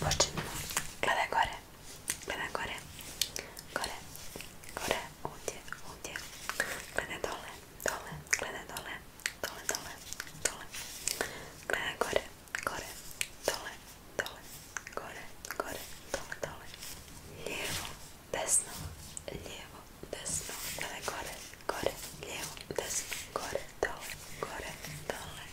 Poxa, cadê agora? Cadê agora? Agora, agora, onde, onde? Cadê dólar? Dólar, cadê dólar? Dólar, dólar, dólar. Cadê agora? Agora, dólar, dólar. Agora, agora, dólar, dólar. Levo, desno, levo, desno. Cadê agora? Agora, levo, desno. Agora, dólar, agora, dólar.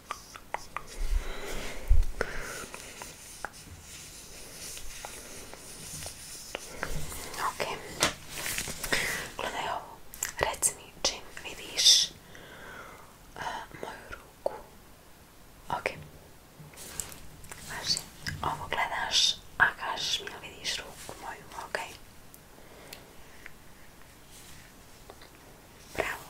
Ok, gledaj ovo, reci mi čim vidiš e, moju ruku. Ok, znači, ovo gledaš, a kažeš mi ili vidiš ruku moju, ok? Bravo.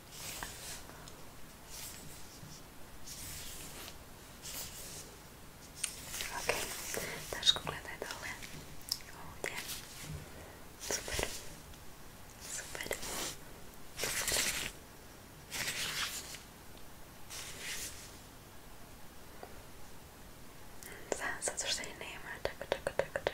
Okej, okay. też oglądaj dole. O, nie. Super. Super. Za, za coś tutaj nie ma. Tak, tak, tak, tak.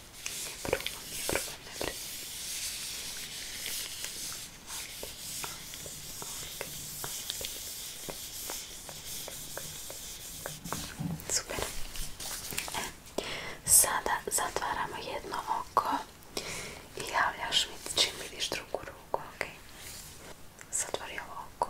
Probam je, probam ne brez. Super. E, sada zatvaramo jedno oko i javljaš mi čim vidiš drugu ruku, okej? Zatvori ovo oko.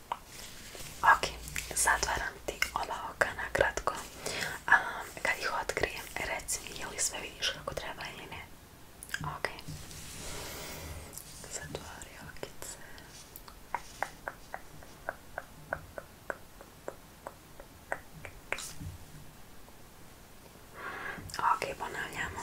Ok, zatvaram ti ova oka nakratko. Um, kad ih hát otkrijem, reci mi je li sve vidiš kako treba ili ne. Ok. Zatvari okice. Ok, ponavljamo.